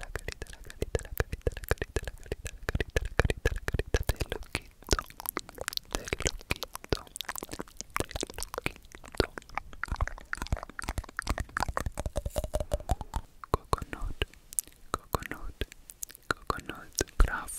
la carita, la carita, la carita, la carita, la carita, la carita, la carita, la carita del loquito, del loquito, del loquito. Coconut, coconut, coconut, graph.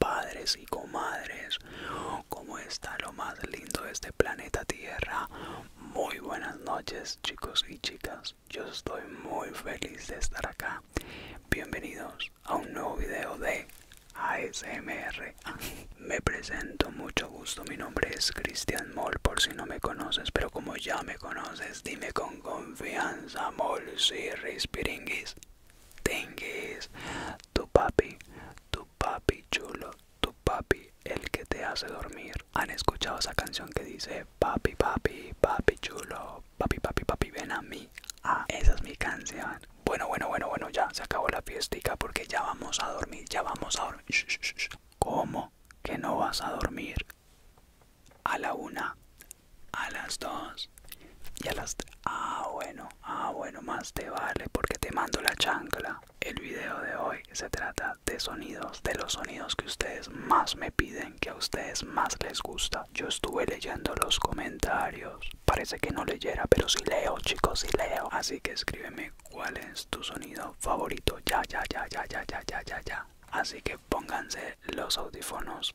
Padres y comadres, ¿cómo está lo más lindo de este planeta Tierra? Muy buenas noches chicos y chicas, yo estoy muy feliz de estar acá. Bienvenidos a un nuevo video de ASMR. Me presento, mucho gusto, mi nombre es Cristian Moll, por si no me conoces, pero como ya me conoces, dime con confianza, Moll, si Rispiringuis tengues. Tu papi, tu papi chulo, tu papi el que te hace dormir. ¿Han escuchado esa canción que dice papi, papi, papi chulo, papi, papi, papi, ven a mí? Ah, esa es mi canción. Bueno, bueno, bueno, bueno, ya se acabó la fiestica porque ya vamos a dormir, ya vamos a dormir. ¿Cómo que no vas a dormir? a la una, a las dos y a las tres. Ah, bueno, ah, bueno, más te vale porque te mando la chancla. El video de hoy se trata de sonidos, de los sonidos que ustedes más me piden, que a ustedes más les gusta. Yo estuve leyendo los comentarios. Parece que no leyera, pero sí leo, chicos, sí leo. Así que escríbeme cuál es tu sonido favorito. Ya, ya, ya, ya, ya, ya, ya, ya, ya. Así que pónganse los audífonos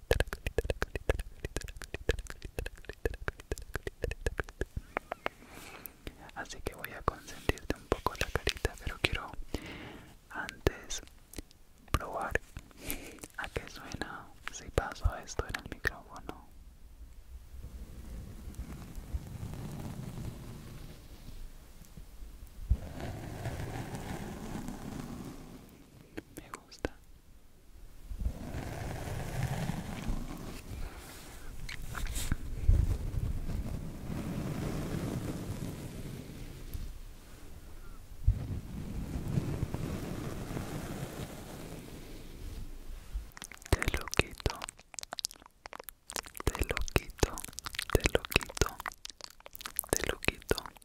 Así que voy a consentirte un poco la carita, pero quiero antes probar a qué suena si paso esto en el micrófono me gusta te lo quito te lo quito te lo quito te lo quito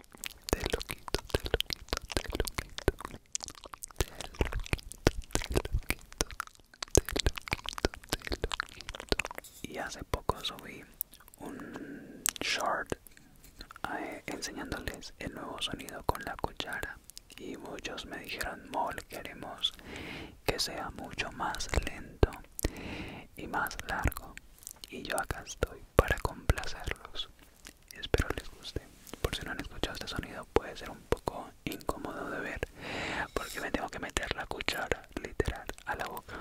te Y hace poco subí un short eh, enseñándoles el nuevo sonido con la cuchara y muchos me dijeron mol queremos que sea mucho más lento y más largo y yo acá estoy para complacerlos espero les guste por si no han escuchado este sonido puede ser un poco incómodo de ver porque me tengo que meter la cuchara literal a la boca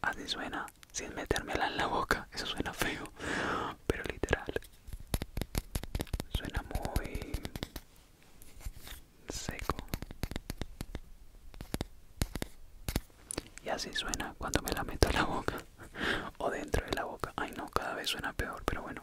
Así ah, suena sin metérmela en la boca. Eso suena feo, pero literal. Suena muy seco. Y así suena cuando me la meto en la boca o dentro de la boca. Ay no, cada vez suena peor, pero bueno.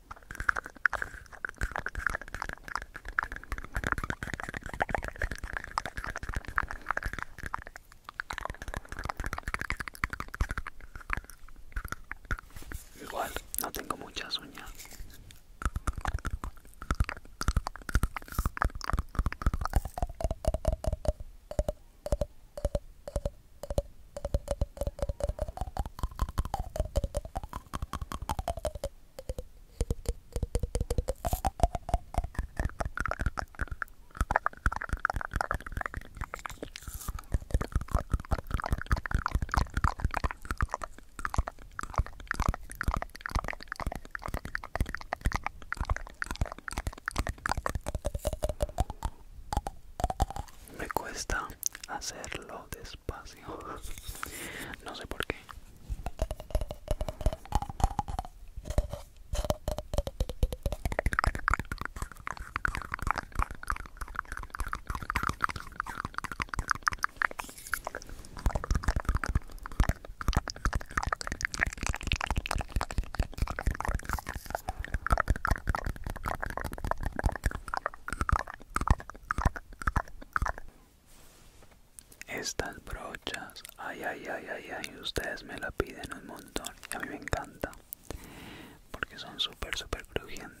Igual, no tengo muchas uñas. Me cuesta hacerlo de no sé por qué. Estas brochas, ay, ay, ay, ay, ay, ustedes me la piden un montón y a mí me encanta porque son súper, súper crujientes.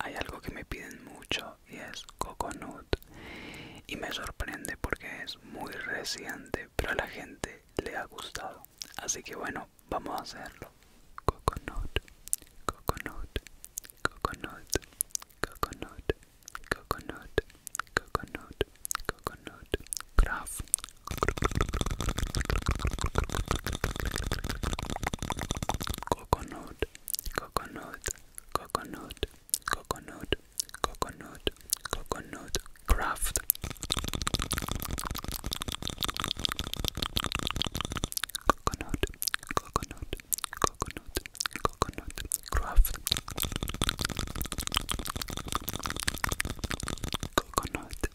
Hay algo que me piden mucho y es coconut. Y me sorprende porque es muy reciente, pero a la gente le ha gustado. Así que bueno, vamos a hacerlo. Coconut, coconut, coconut, coconut, coconut, coconut, coconut, craft. coconut, coconut, coconut, coconut, coconut, coconut craft. Coconut, coconut, coconut, coconut craft. Coconut,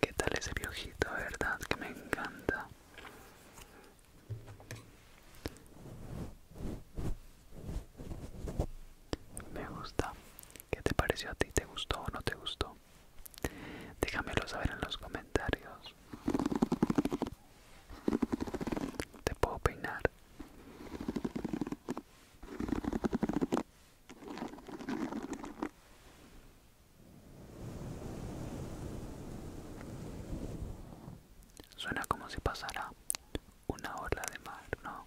¿Qué tal ese viojito, verdad? Que me encanta. Me gusta. ¿Qué te pareció a ti? ¿Te gustó o no te gustó? Déjamelo saber en los comentarios. ¿Te puedo peinar? Suena como si pasara una ola de mar, ¿no?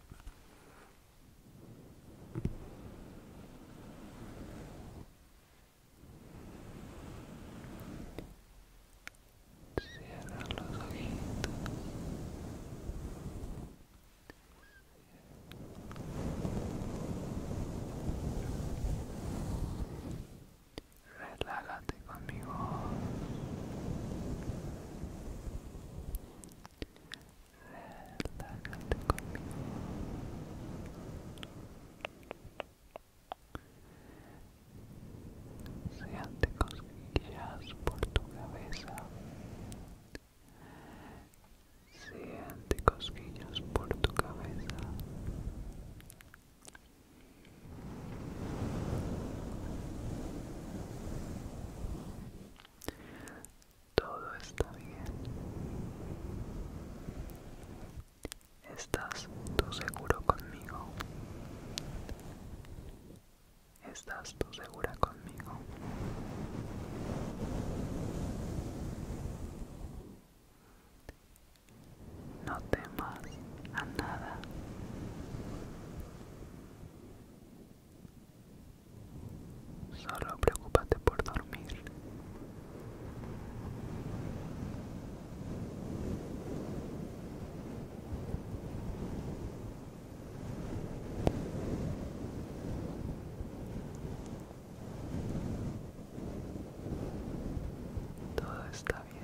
Cierra los ojitos. Relájate conmigo. Relájate conmigo. cosquillas por tu cabeza. Siente cosquillas por tu cabeza. Todo está bien. ¿Estás tú seguro conmigo? ¿Estás tú segura conmigo? No temas a nada. Solo preocúpate por dormir. Todo está bien.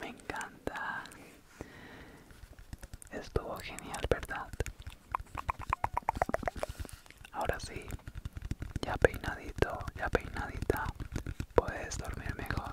Me encanta. Estuvo genial, ¿verdad? Ahora sí, ya peinadito, ya peinadita, puedes dormir mejor.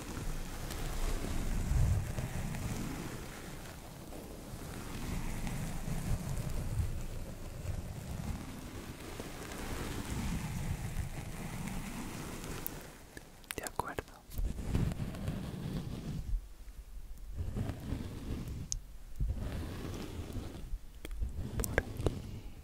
De acuerdo.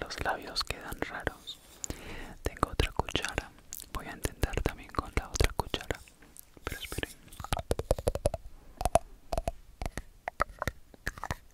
Los labios quedan raros. Tengo otra cuchara. Voy a intentar también con la otra cuchara. Pero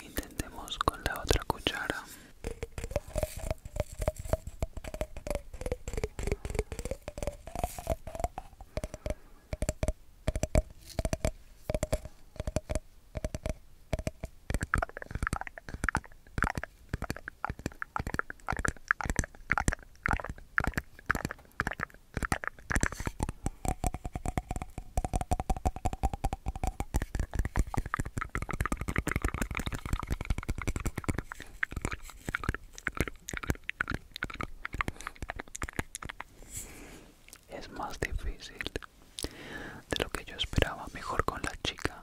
Intentemos con la otra cuchara. Es más difícil de lo que yo esperaba, mejor con la chica.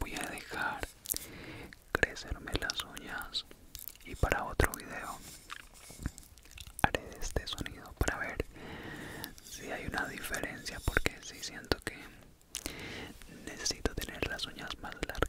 Voy a dejar crecerme las uñas y para otro video haré este sonido para ver sí hay una diferencia porque sí siento que necesito tener las uñas más largas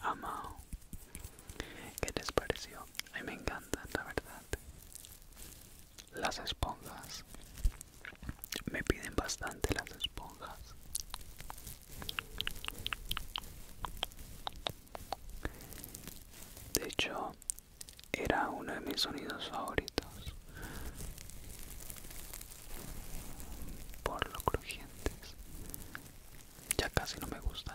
Amo ¿qué les pareció? A me encantan, la verdad. Las esponjas me piden bastante las esponjas de hecho era uno de mis sonidos favoritos por lo crujientes ya casi no me gustan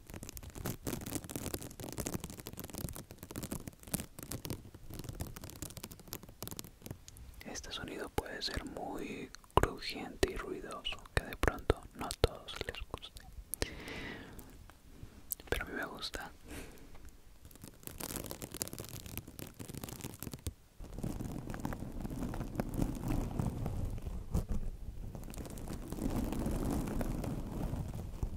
Este sonido puede ser muy crujiente y ruidoso, que de pronto no a todos les guste. Pero a mí me gusta.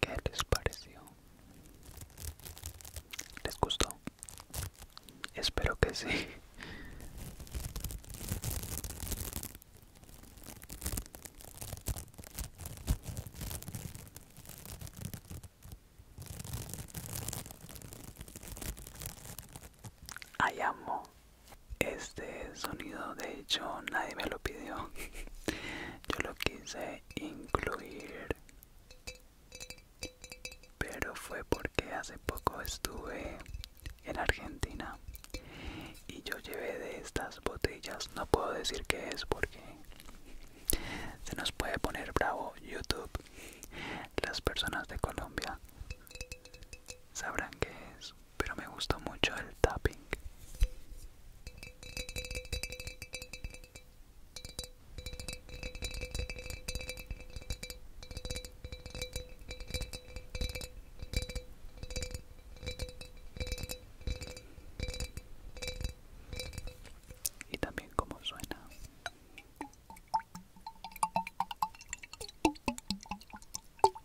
¿Qué les pareció? ¿Les gustó? Espero que sí. Ayamo. amo este sonido, de hecho, nadie me lo pidió. Yo lo quise incluir, pero fue porque hace poco estuve en Argentina y yo llevé de estas botellas. No puedo decir qué es porque se nos puede poner bravo YouTube. Las personas de Colombia sabrán qué es pero me gusta mucho el tapping. Y también como suena.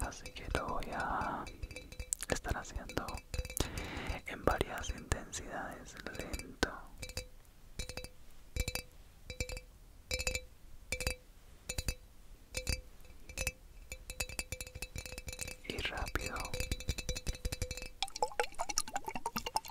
así que lo voy a estar haciendo en varias intensidades lento y rápido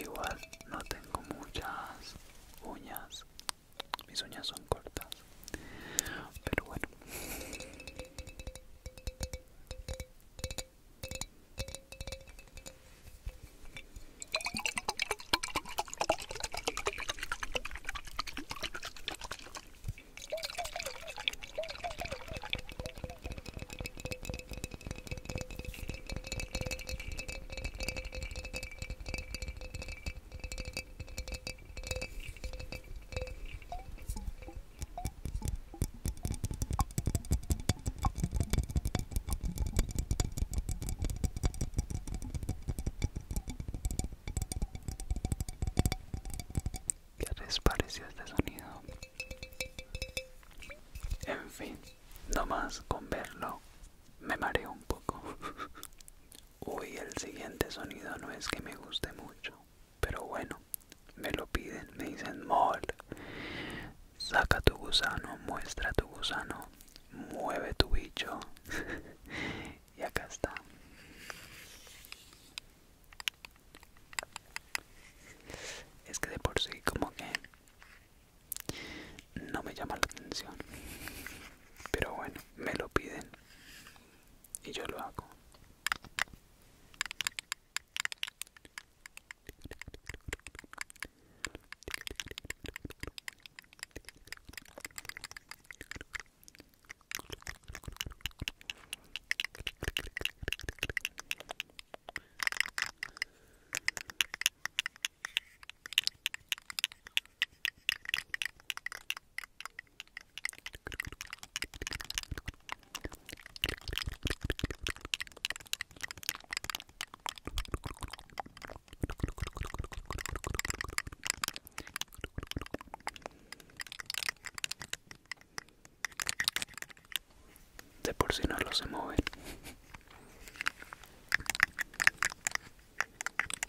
Igual no tengo muchas uñas mis uñas son cortas. Pero bueno. ¿Qué les pareció este sonido? En fin, nomás con verlo me mareo un poco. hoy el siguiente sonido no es que me guste mucho, pero bueno, me lo piden, me dicen mol. Saca tu gusano, muestra tu gusano, mueve tu bicho. y acá está. Es que de por sí como que no me llama la atención. Pero bueno, me lo piden y yo lo hago de por si no lo se mueve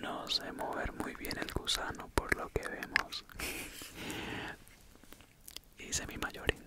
No sé mover muy bien el gusano por lo que vemos. Hice mi mayor intento.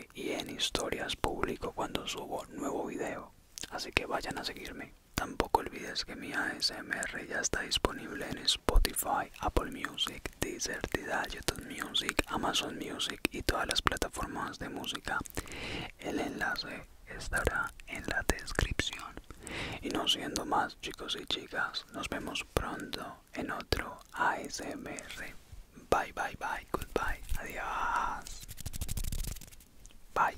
y en historias publico cuando subo nuevo video, así que vayan a seguirme. Tampoco olvides que mi ASMR ya está disponible en Spotify, Apple Music, Deezer, Tidal, YouTube Music, Amazon Music y todas las plataformas de música. El enlace estará en la descripción. Y no siendo más chicos y chicas, nos vemos pronto en otro ASMR. Bye, bye, bye, goodbye. Adiós. Bye.